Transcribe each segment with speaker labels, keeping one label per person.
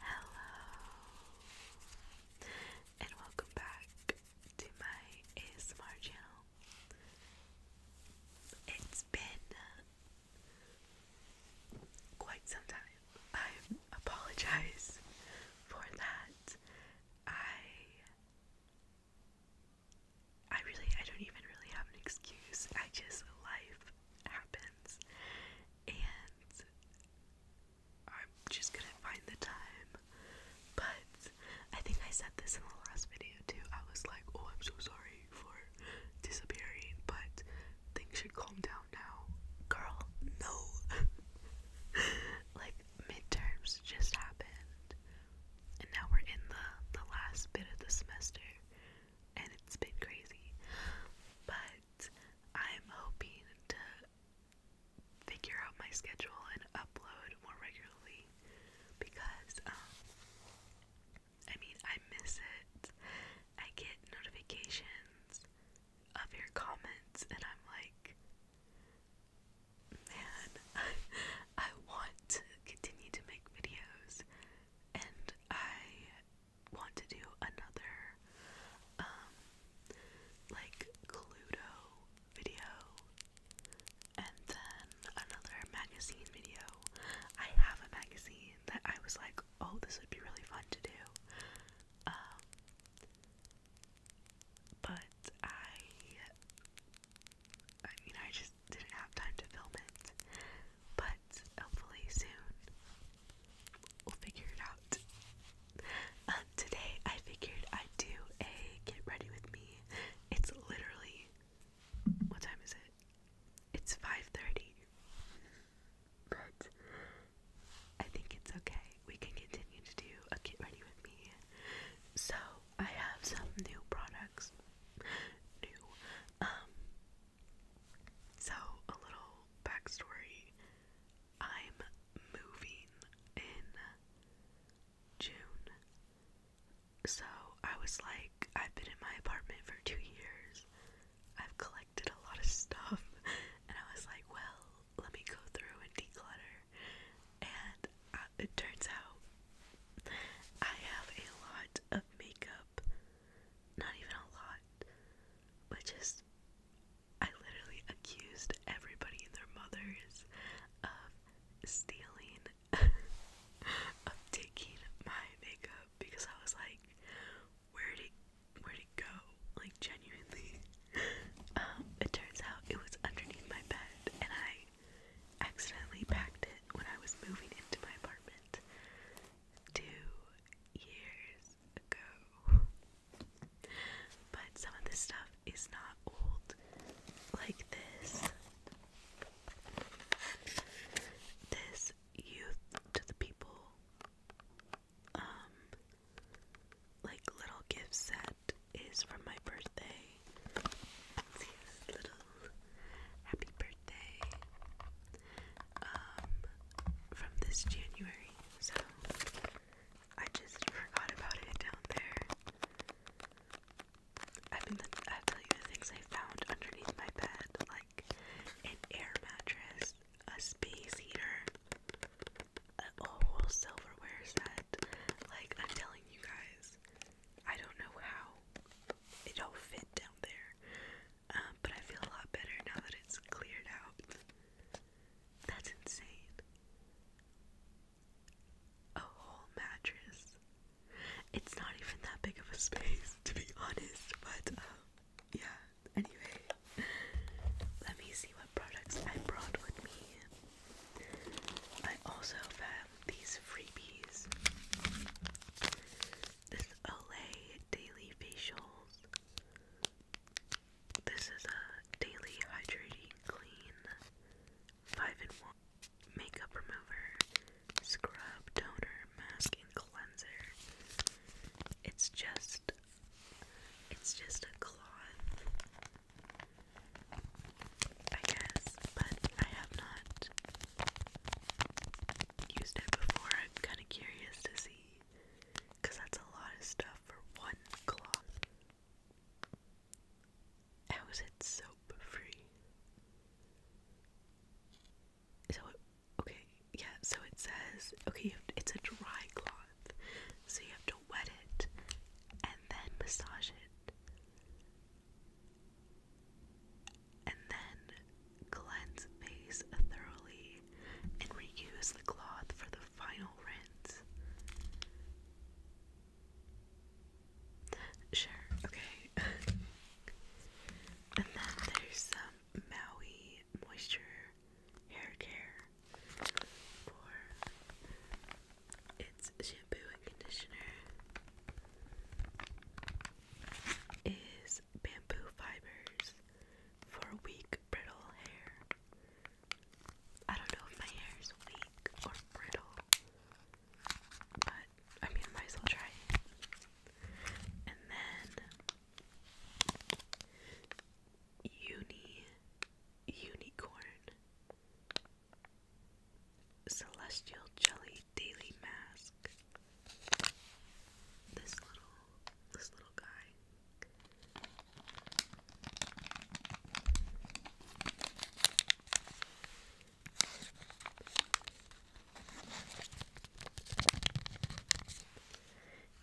Speaker 1: Hello, and welcome back to my ASMR channel. It's been quite some time. I apologize for that. I I really I don't even really have an excuse. I just life happens and I'm just gonna find the time. But I think I said this in the last video too. I was like, oh I'm so sorry for disappearing, but things should calm down now. Girl, no. like midterms just happened, and now we're in the, the last bit of the semester, and it's been crazy. But I'm hoping to figure out my schedule and upload more regularly because, um, I mean, I miss it. I get notifications of your comments, and I'm like, man, I, want to continue to make videos and I want to do another um like Cluedo video and then another magazine video. I have a magazine that I was like, oh this would be really fun to do. Um, but I, I mean, I just didn't have time to film it, but hopefully soon we'll figure it out. Um, today I figured I'd do a get ready with me. It's literally, what time is it? It's 5.30, but I think it's okay we can continue to do a Get Ready With Me. So, I have some new products. New. Um, so, a little backstory. I'm moving in June. So, I was like, I've been in my apartment for two years. I've collected a lot of stuff, and I was like, well, let me go through and declutter. And uh, it turns out I have a lot of makeup. Not even a lot, but just I literally accused everybody and their mothers of stealing, of taking my makeup because I was like, where did, where'd it go? Like genuinely, um, it turns out it was underneath my bed, and I accidentally packed it when I was moving into my apartment two years ago. But some of this stuff is not old, like this. This Youth to the People um, like little gift set is from my birthday. little happy birthday um from this January. So I just forgot about it down there. I mean, I tell you the things I found underneath my bed, like an air mattress, a space heater, oh silverware set. Like I'm telling you guys, I don't know how it all fit down there. Um, but I feel a lot better now that it's cleared out. That's insane. A whole mattress. It's not even that big of a space, to be honest, but um, yeah. Anyway, let me see what products I brought with me. I also found these freebies. This Olay Daily Facials. This is a daily hydrating clean 5 in 1 makeup remover, scrub, toner, mask and cleanser. It's just it's just a cloth I guess, but I have not used it before. I'm kind of curious to see because that's a lot of stuff for one cloth. How is it soap free? So, it, okay, yeah, so it says, okay, it's a dry cloth. So you have to wet it and then massage it. And then cleanse face thoroughly and reuse the cloth for the final rinse. Sure, okay. and then there's some Maui Moisture Hair Care for its shampoo and conditioner is bamboo fibers for weak, brittle hair. I don't know if my hair is weak or brittle, but I mean, might as well try And then, uni, unicorn. Celestial Jelly Daily Mask. This little this little guy.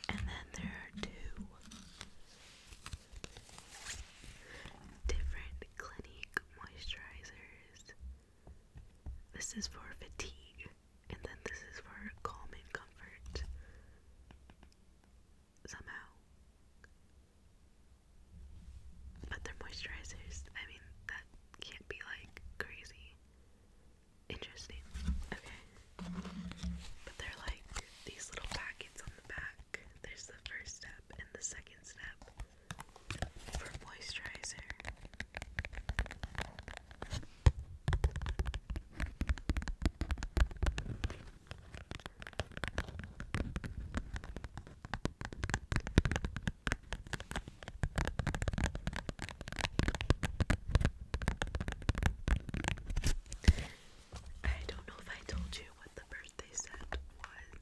Speaker 1: And then there are two Different Clinique moisturizers. This is for fatigue, and then this is for calm and comfort. Somehow. But they're moisturizers. I mean, that can't be like crazy. Interesting. Okay. But they're like these little packets on the back. There's the first step and the second step for moisturizer. I don't know if I told you what the birthday set was.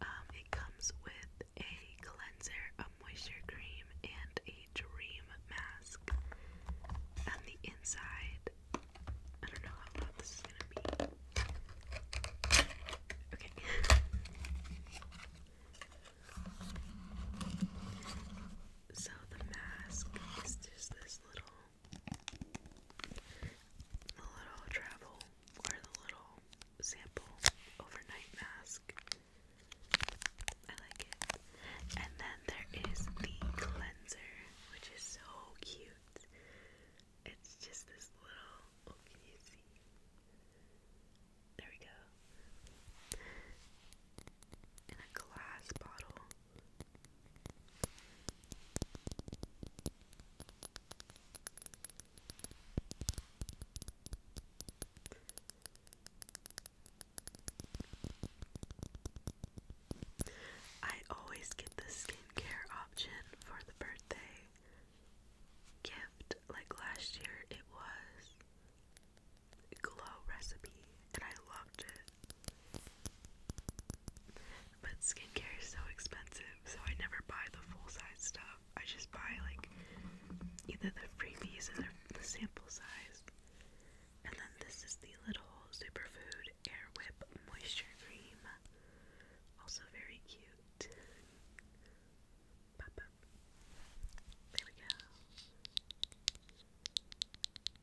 Speaker 1: Um, it comes with a cleanser, a moisture cream, and a dream mask. On the inside, I don't know how loud this is gonna be. Okay. So the mask is just this little the little travel or the little sample overnight mask. I like it. And then there is the cleanser, which is so cute. It's just this little. can you see? There we go. In a glass bottle. I always get the skincare option for the birthday gift. Like last year, it was Glow Recipe, and I loved it. But skincare is so expensive, so I never buy the full size stuff. I just buy like either the freebies or the, sample size. And then this is the little Superfood Air Whip Moisture Cream. Also very cute. There we go.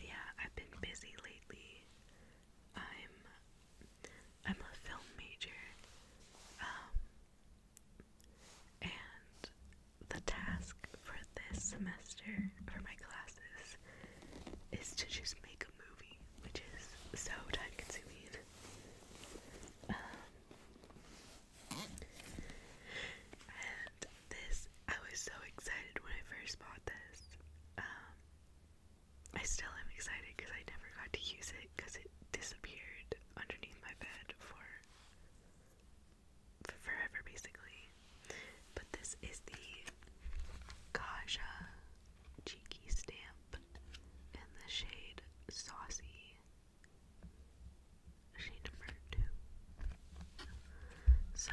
Speaker 1: Yeah, I've been busy lately. I'm I'm a film major. Um, and the task for this semester for my classes is to just make a which is so time consuming. Um, and this, I was so excited when I first bought this. Um, I still am excited because I never got to use it because it disappeared underneath my bed for, forever, basically. But this is the Kaja Cheeky Stamp, and the shade Saucy, shade number two. So,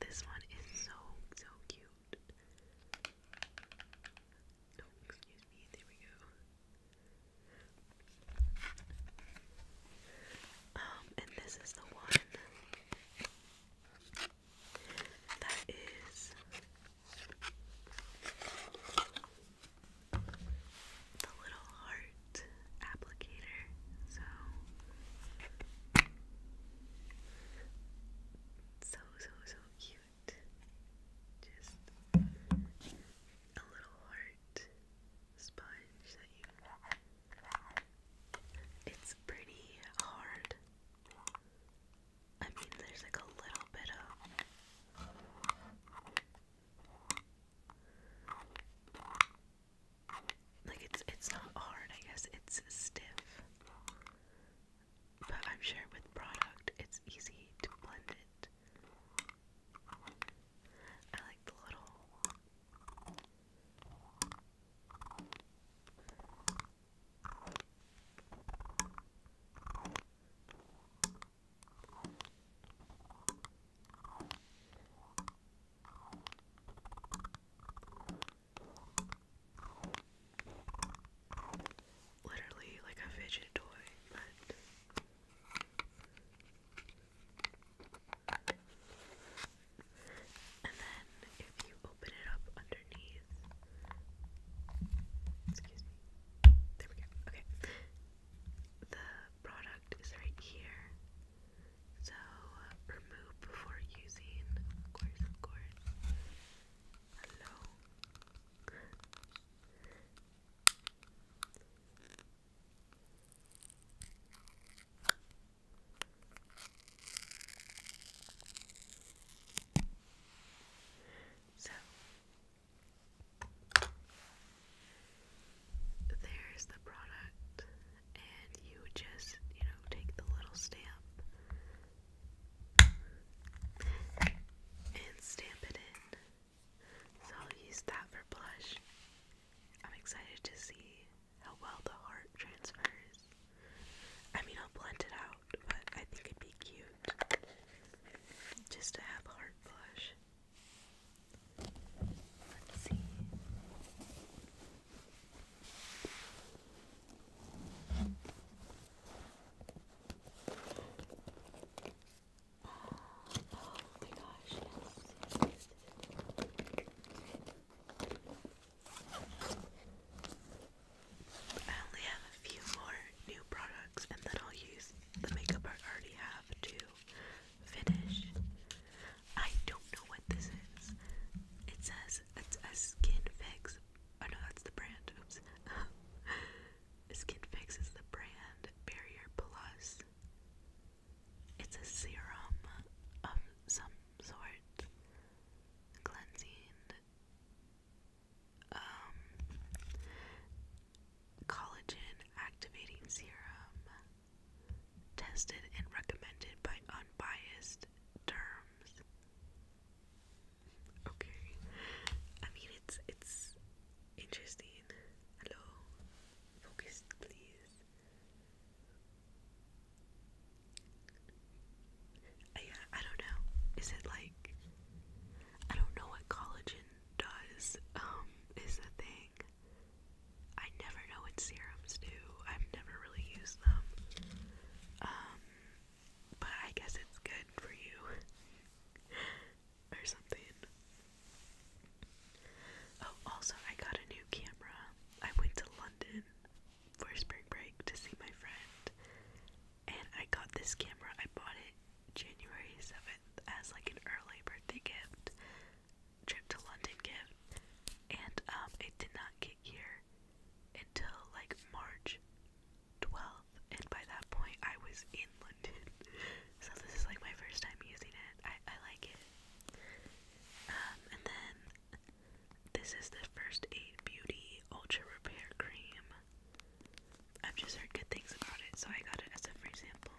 Speaker 1: this one is so, so cute. No, excuse me, there we go. Um, and this is the one that is the little heart applicator. So so so so cute. Just a little heart sponge that you it's pretty hard. I mean, there's like a little bit of. Like it's it's not hard, I guess it's stiff. But I'm sure with product it's easy to blend it. I like the little Literally like a fidget toy, but and then if you open it up underneath, there we go. Okay, the product is right here. So remove before using, of course, of course. Hello. So there's the product, and you just, you know, take the little stamp and stamp it in. So I'll use that for blush. I'm excited to see how well the heart transfers. I mean, I'll blend it out, but I think it'd be cute just to have heart blush. Let's see. Oh, oh my gosh, I only have a few more new products and then I'll use the makeup I already have to finish. I don't know what this is. It says it's a skin fix. Oh no, that's the brand. Oops. skin fix is the brand Barrier Plus. It's a serum of some sort cleansing um, collagen activating serum tested and recommended by unbiased terms. Okay. I mean it's it's interesting. Hello. Focus please. Yeah, I don't know. Is it like I don't know what collagen does? Um, is the thing. I never know what serums do. I've never really used them. Um, but I guess it's good for you or something. Oh, also I got a new camera. I went to London for spring break to see my friend, and I got this camera. I bought it January 7th as like an early birthday gift, trip to London gift, and um, it did not get here until like March 12th, and by that point I was in London. so this is like my first time using it. I, I like it. Um, and then this is the First Aid Beauty Ultra Repair Cream. I've just heard good things about it, so I got it as a free sample.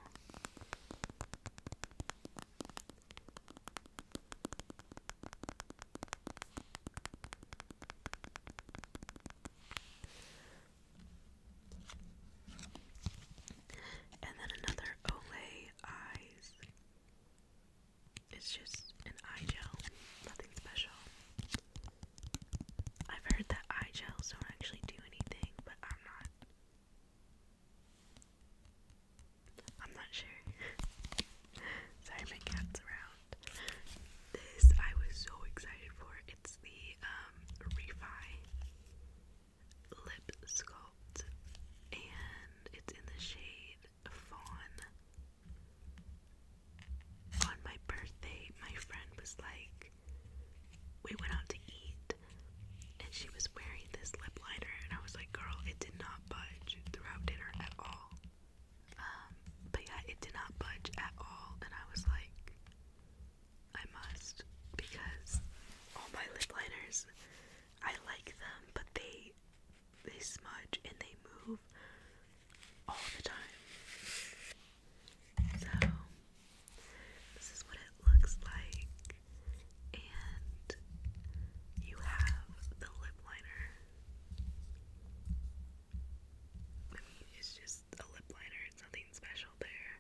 Speaker 1: And then another Olay Eyes. It's just an eye gel, nothing special. I've heard that eye gels don't actually do anything, but I'm not. I'm not sure. Sorry, my cat's around. This I was so excited for. It's the um, Refi Lip Sculpt, and it's in the shade on my birthday, my friend was like, we went out to eat, and she was wearing this lip liner, and I was like, girl, it did not budge throughout dinner at all. Um, but yeah, it did not budge at all, and I was like, I must, because all my lip liners, I like them, but they they smudge and they move all the time. So this is what it looks like. And you have the lip liner. I mean, it's just a lip liner, it's nothing special there.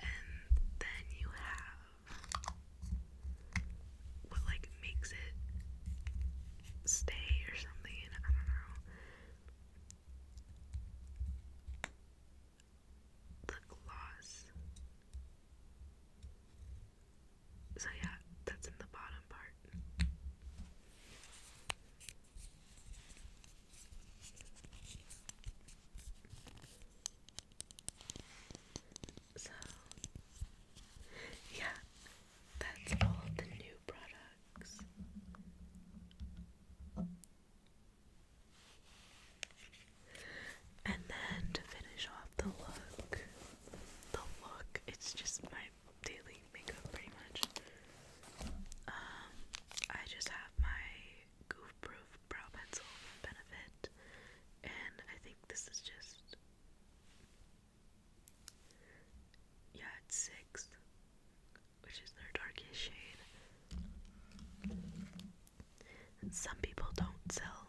Speaker 1: And then you have what like makes it stay or something. I don't know. The gloss. So yeah, that's in the bottom part. So, yeah, that's all the new products. And then to finish off the look, the look, it's just my daily makeup pretty much. Um, I just have my Goof Proof Brow Pencil from Benefit, and I think this is just yeah, it's sixth, which is their darkest shade. some people don't sell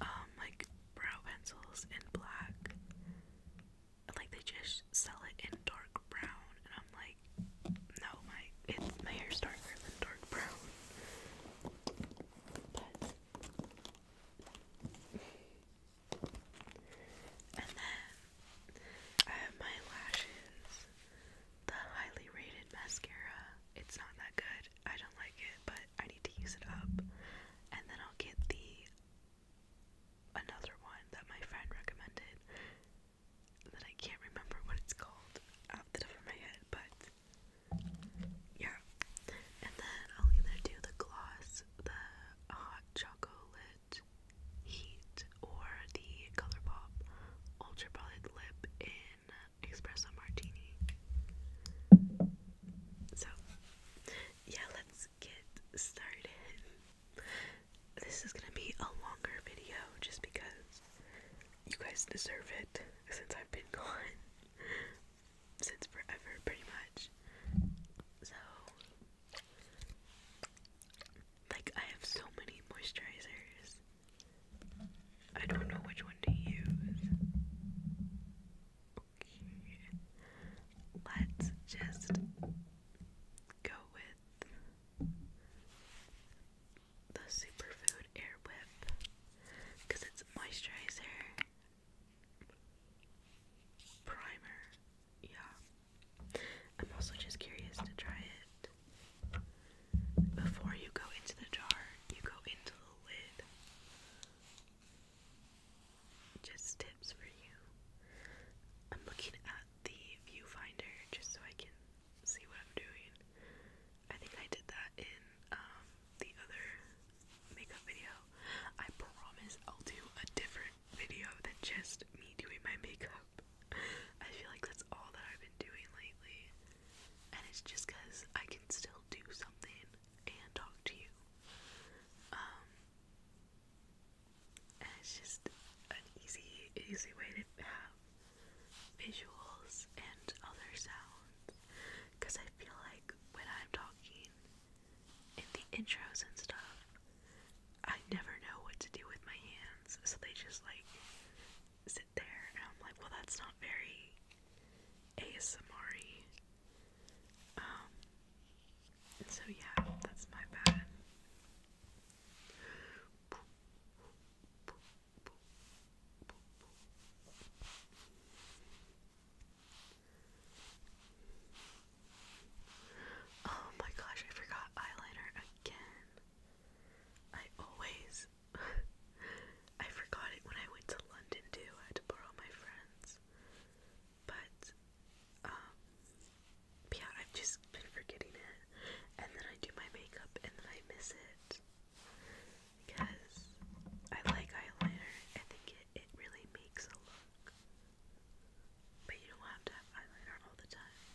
Speaker 1: um like brow pencils in black. Like they just sell it in dark brown and I'm like no my it's my hair's darker than dark brown. And then I have my lashes, the highly rated mascara. It's not that good. I don't like it, but I need to use it up. And then I'll get the another one that my friend recommended that I can't remember what it's called off the top of my head, but yeah. And then I'll either do the gloss, the hot chocolate heat, or the ColourPop Ultra Lip in Espresso Martini. So, yeah, let's get started. This is gonna be a longer video just because you guys deserve it since I've been gone since forever, pretty much. So, like, I have so many moisturizers. I don't know which one to use. Okay, let's just go with the Superfood Air Whip because it's moisturizer primer. Yeah. I'm also just curious to try it. Before you go into the jar, you go into the lid. Just tips for you. I'm looking at the viewfinder just so I can see what I'm doing. I think I did that in um, the other makeup video. I promise I'll do a different video than just me doing my makeup. I feel like that's all that I've been doing lately. And it's just because I can still do something and talk to you. Um, it's just an easy, easy way to have visuals and other sounds. Because I feel like when I'm talking, in the intros and stuff, I never know what to do with my hands, so they just like sit there, and I'm like, well, that's not very ASMR -y. Um, so yeah, that's my bad. Oh my gosh, I forgot eyeliner again. I always I forgot it when I went to London too. I had to borrow my friends. But um yeah, I've just been forgetting it. And then I do my makeup and then I miss it because I like eyeliner. I think it, it really makes a look. But you don't have to have eyeliner all the time.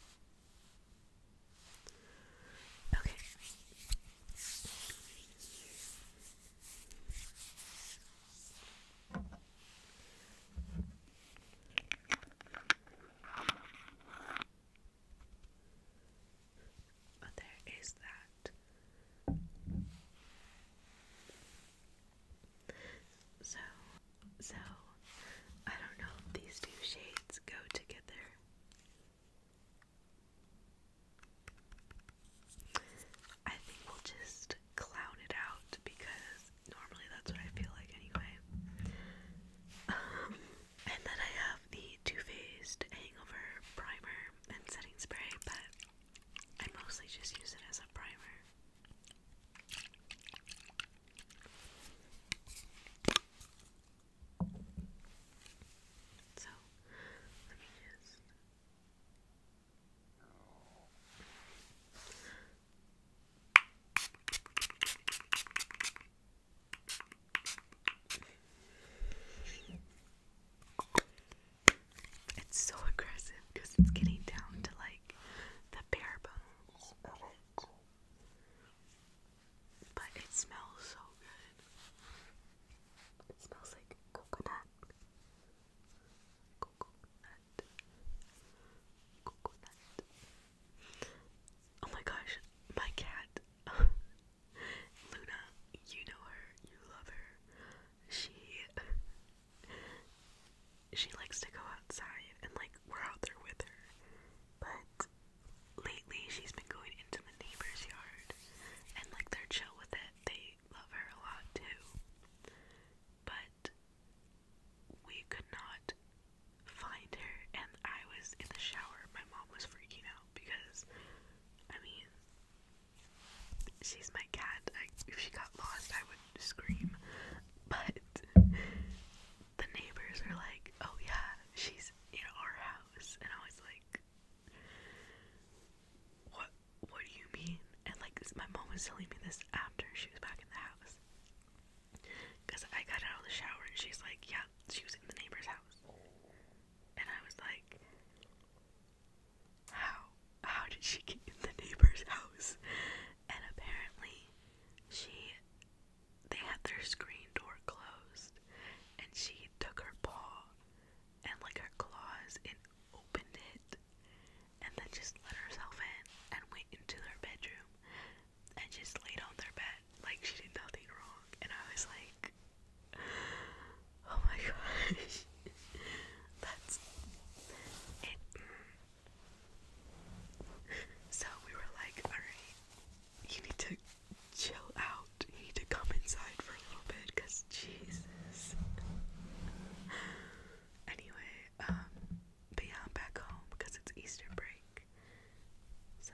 Speaker 1: Okay. Oh, there is that. So, so I don't know if these two shades go together. I think we'll just clown it out because normally that's what I feel like anyway. Um, and then I have the Too Faced Hangover Primer and Setting Spray, but I mostly just use it as a primer. So, let me just. It's so aggressive because it's getting down to like the bare bones of it. But it smells so good. It smells like coconut. Coconut. Coconut. Oh my gosh, my cat. Luna, you know her, you love her she she likes to go outside and like we're out there with her. But lately she's been going into the neighbor's yard and like they're chill with it. They love her a lot too. But we could not find her and I was in the shower. My mom was freaking out because I mean She's my cat. if she got lost, I would scream. But the neighbors are like, oh yeah, she's in our house. And I was like, what? What do you mean? And like, my mom was telling me this after she was back in the house. Because I got out of the shower and she's like, yeah, she was in the neighbor's house. And I was like, how how did she get in the neighbor's house? And apparently she they had their screen door closed and she took her paw and like her claws and opened it and then just let herself in and went into their bedroom and just laid on their bed like she did nothing wrong and I was like Oh my gosh. That's it. So we were like, alright, you need to chill out. You need to come inside for a little bit because Jesus. Anyway, um, but yeah, back home because it's Easter break. So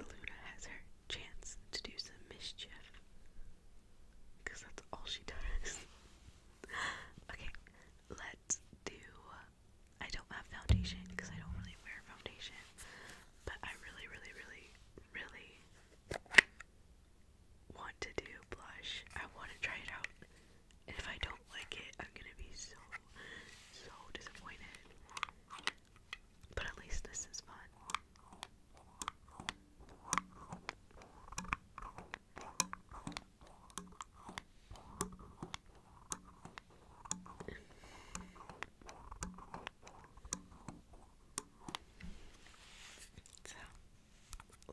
Speaker 1: Luna has her chance to do some mischief. Because that's all she does. okay, let's do. I don't have foundation because I don't really wear foundation. But I really, really, really, really want to do blush. I want to try it out. And if I don't like it, I'm gonna be so, so disappointed. But at least this is fun. So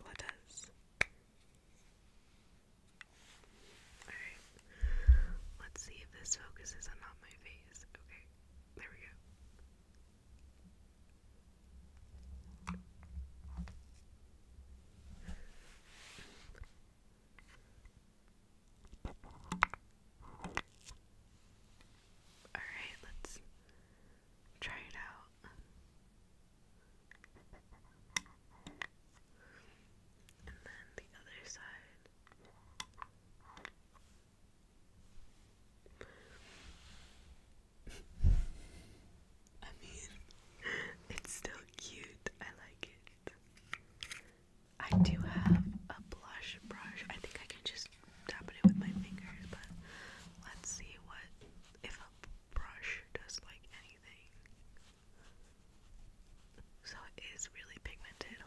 Speaker 1: let us. Alright. Let's see if this focuses on not my face. Okay. There we go. All right, let's try it out. And then the other side. I mean, it's still cute. I like it. I do have a blush brush. I think I can just tap it with my fingers, but let's see what if a brush does like anything. So it is really pigmented.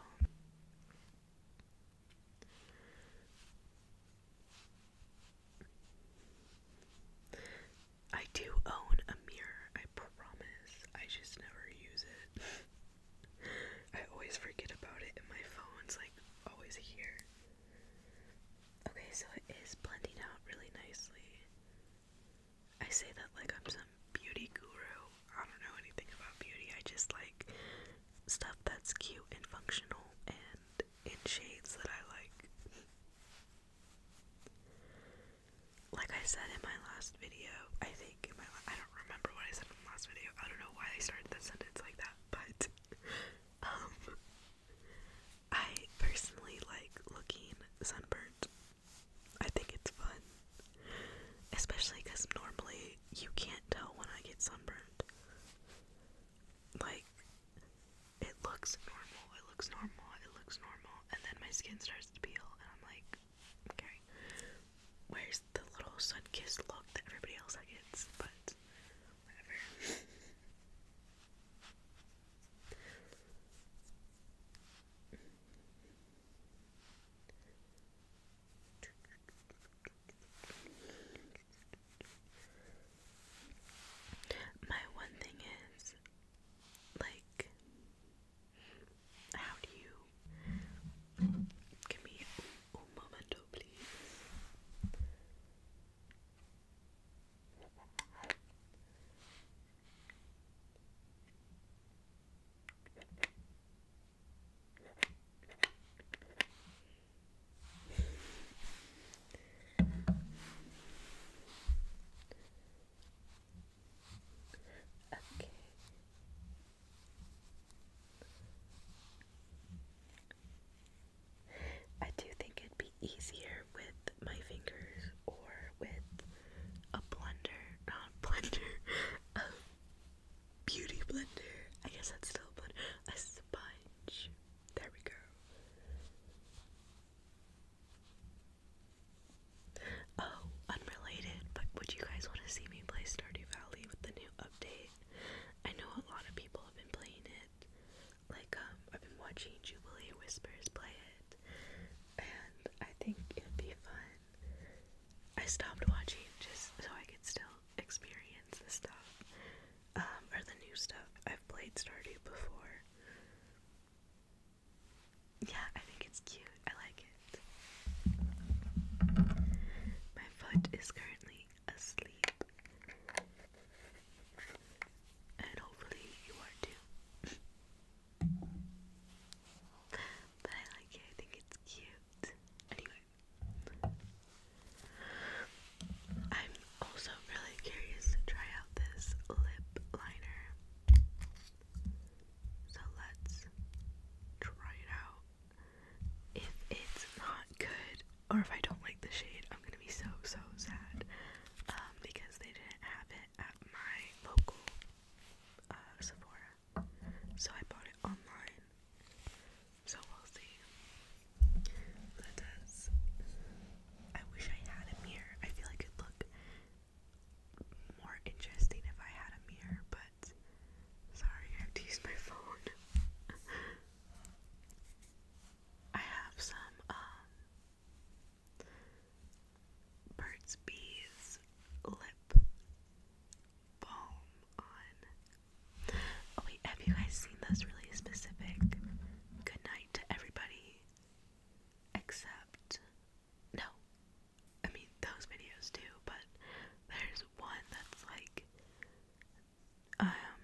Speaker 1: I do own a mirror, I promise. I just never use it. I always forget about it, and my phone's like always here. Okay, so it is blending out really nicely. I say that like I'm some beauty guru. I don't know anything about beauty, I just like stuff that's cute and functional and in shades that I like. Like I said in my last video, I think in my I don't remember what I said in the last video. I don't know why I started the sentence like that, but um I personally like looking sunburnt. I think it's fun. Especially cuz normally you can't tell when I get sunburned like it looks normal, it looks normal, it looks normal, and then my skin starts to peel, and I'm like, okay, where's the little sun kissed look that everybody else gets? But whatever. My one thing is, like, how do you give me un, momento, please? Okay. I do think it'd be easier with my fingers or with a blender, not blender, a beauty blender. I guess that's still a blender. sponge. There we go. Oh, unrelated, but would you guys want to see me play Stardew Valley with the new update? I know a lot of people have been playing it. Like, um, I've been watching Jubilee Whispers play it, and I think it'd be fun. I stopped watching just so I could still experience the stuff. Um, or the new stuff. I've played Stardew before. Yeah, I think it's cute. I like it. My foot is currently asleep. And hopefully you are too. but I like it, I think it's cute. Anyway, I'm also really curious to try out this lip liner. So let's try it out. If it's not good, or if I don't like the shade, I'm gonna be so so sad um, because they didn't have it at my local uh, Sephora. So I bought it online so we'll see. That does. I wish I had a mirror. I feel like it'd look more interesting if I had a mirror, but sorry, I have to use my phone. I have some um Burt's Bees lip balm on Oh wait, have you guys seen those really specific good night to everybody except no. I mean those videos too, but there's one that's like um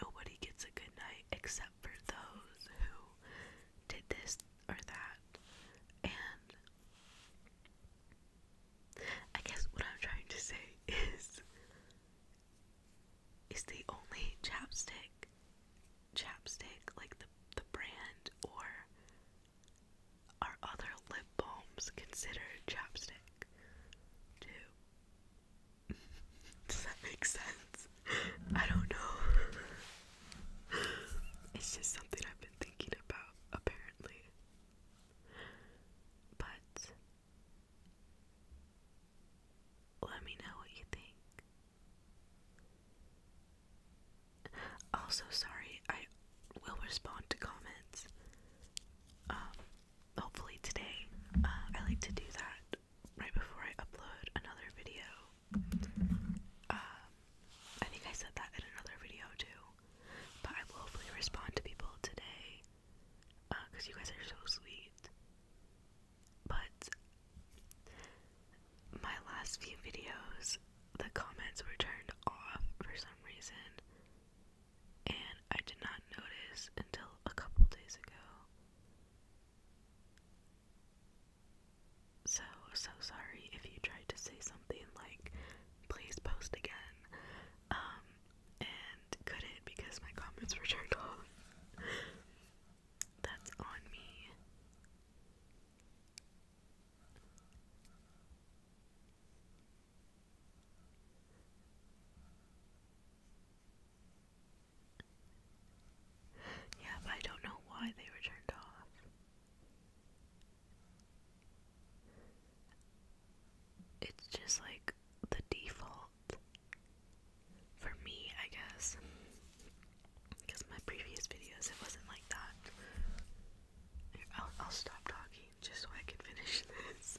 Speaker 1: nobody gets a good night except for those who did this or that and I guess what I'm trying to say is is the only chapstick chapstick like the the brand or are other lip balms considered chapstick Does that make sense? I don't know. it's just something I've been thinking about apparently. But let me know what you think. Also, sorry, I will respond to comments. Um, hopefully today. Uh, I like to do that right before I upload another video. Um, I think I said that in another video too. But I will hopefully respond to people today because uh, you guys are so sweet. But my last few videos, the comments were turned off for some reason, and I did not notice until a couple days ago. So, so sorry if you tried to say something like, please post again. Um, and couldn't because my comments were turned off. That's on me. Yeah, but I don't know why they were turned off it's just like the default for me, I guess. Because my previous videos, it wasn't like that. I'll, I'll stop talking just so I can finish this.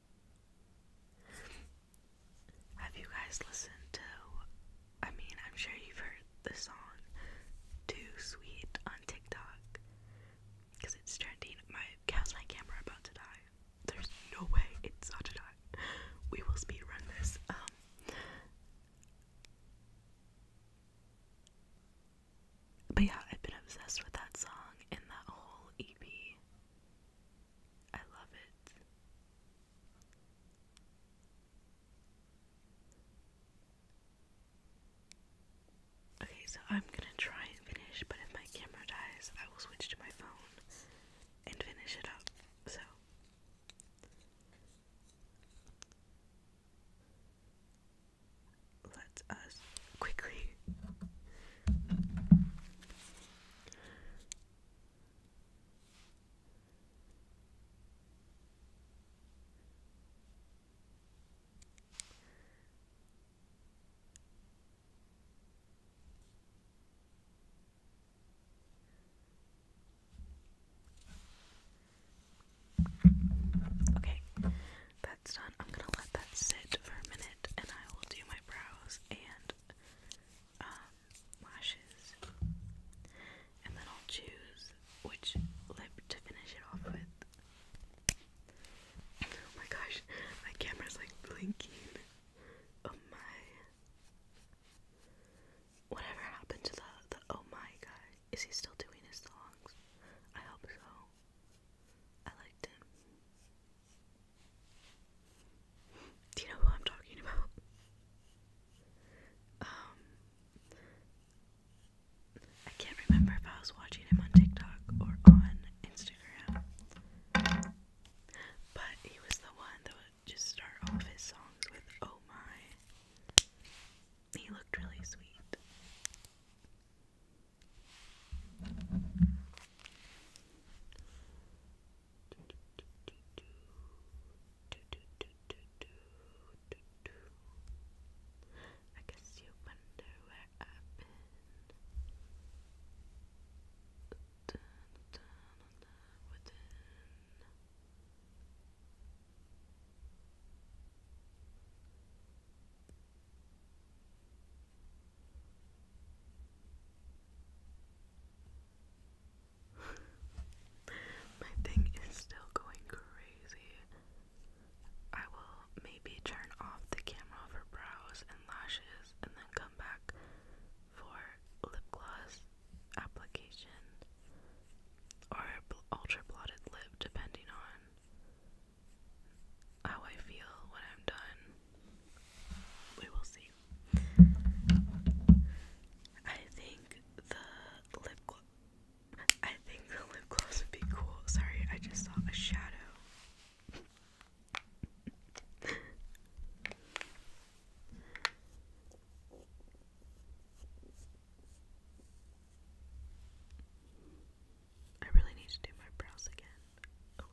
Speaker 1: Have you guys listened to? I mean, I'm sure you've heard the song "Too Sweet" on TikTok because it's trending. My how's my camera about to die? There's no way it's not to die. We will speed this. Um, but yeah, I've been obsessed with that song and that whole EP. I love it. Okay, so I'm gonna try and finish, but if my camera dies, I will switch to my phone and finish it up. So. Let us quickly Okay, that's done. I'm gonna let that sit for a minute and I will do my brows and um, lashes, and then I'll choose which lip to finish it off with. Oh my gosh, my camera's like blinking. Oh my. Whatever happened to the, the oh my guy? Is he still doing his songs? I hope so. I liked him. Do you know who I'm talking about? Um, I can't remember if I was watching him on TikTok or on Instagram, but he was the one that would just start off his songs with "Oh my." He looked really sweet. I guess you wonder where I've been. My thing is still going crazy. I will maybe turn off the camera for brows and lashes and then come back for lip gloss application or ultra blotted lip, depending on how I feel when I'm done we will see. I think the lip gloss. I think the lip gloss would be cool. Sorry, I just saw a shadow. I really need to do my brows again. Oh, wow.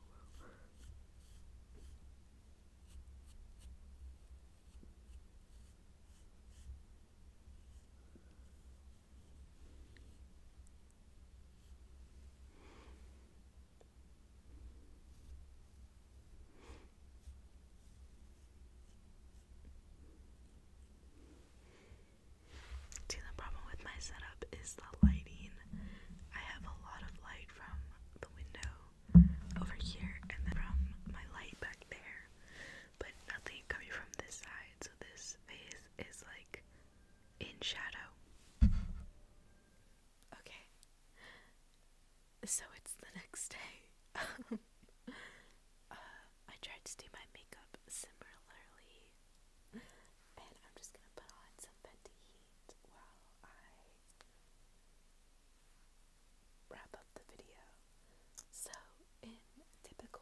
Speaker 1: the problem with my setup is the lighting. I have a lot of light from the window over here and then from my light back there, but nothing coming from this side, so this face is like in shadow. Okay, so it's the next day. Uh, I tried to do my makeup similarly, and I'm just gonna put on some date I wrap up the video. So, in typical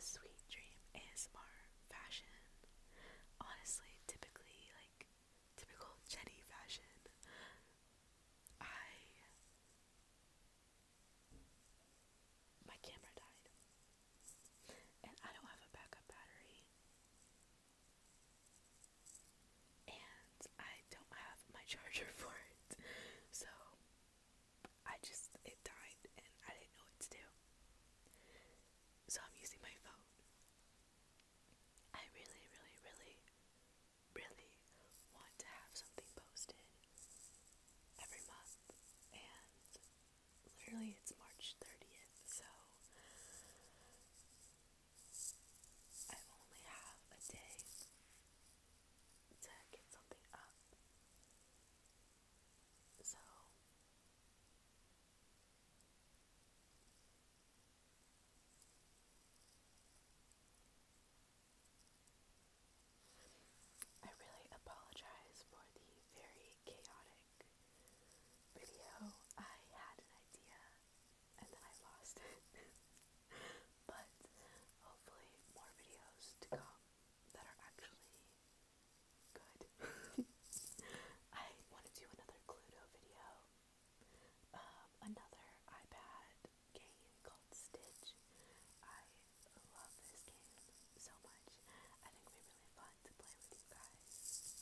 Speaker 1: Sweet Dream ASMR fashion, honestly, typically, like typical Jenny fashion, I. My camera died and I don't have a backup battery, and I don't have my charger for it, so I just it died and I didn't know what to do. So I'm using my phone. I really, really, really, really want to have something posted every month, and literally it's March 30th, so I only have a day to get something up. So I really apologize for the very chaotic video, I had an idea and then I lost it. but hopefully, more videos to come that are actually good. I want to do another Cluedo video, um, another iPad game called Stitch. I love this game so much. I think it really fun to play with you guys.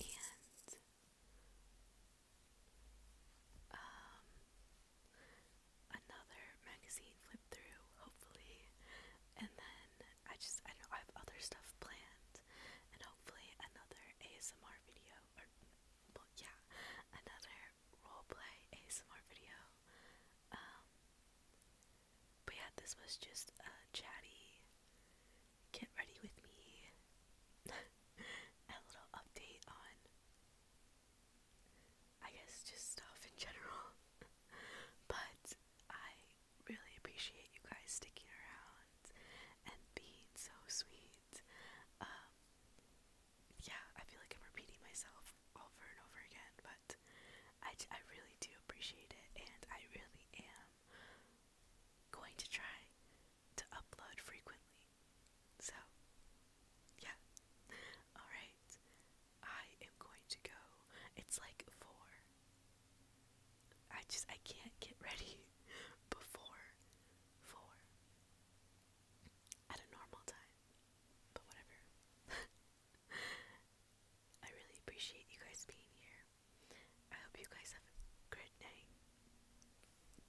Speaker 1: And um another magazine flip through, hopefully. And then I just I know I have other stuff planned and hopefully another ASMR video or yeah, another role play ASMR video. Um, but yeah, this was just a chatty get ready with me a little update on I guess just stuff in general. but I really appreciate you guys sticking around and being so sweet. Um, yeah, I feel like I'm repeating myself over and over again, but I, I really do appreciate it, and I really am going to try to upload frequently. So, yeah. Alright, I am going to go. It's like four. I just, I can't get ready before four at a normal time, but whatever. I really appreciate you guys being here. I hope you guys have a great night.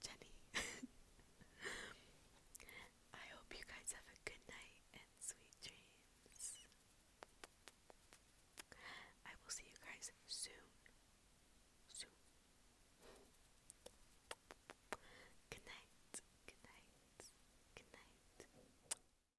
Speaker 1: Jenny. I hope you guys have a good night and sweet dreams. I will see you guys soon. Soon. Good night. Good night. Good night.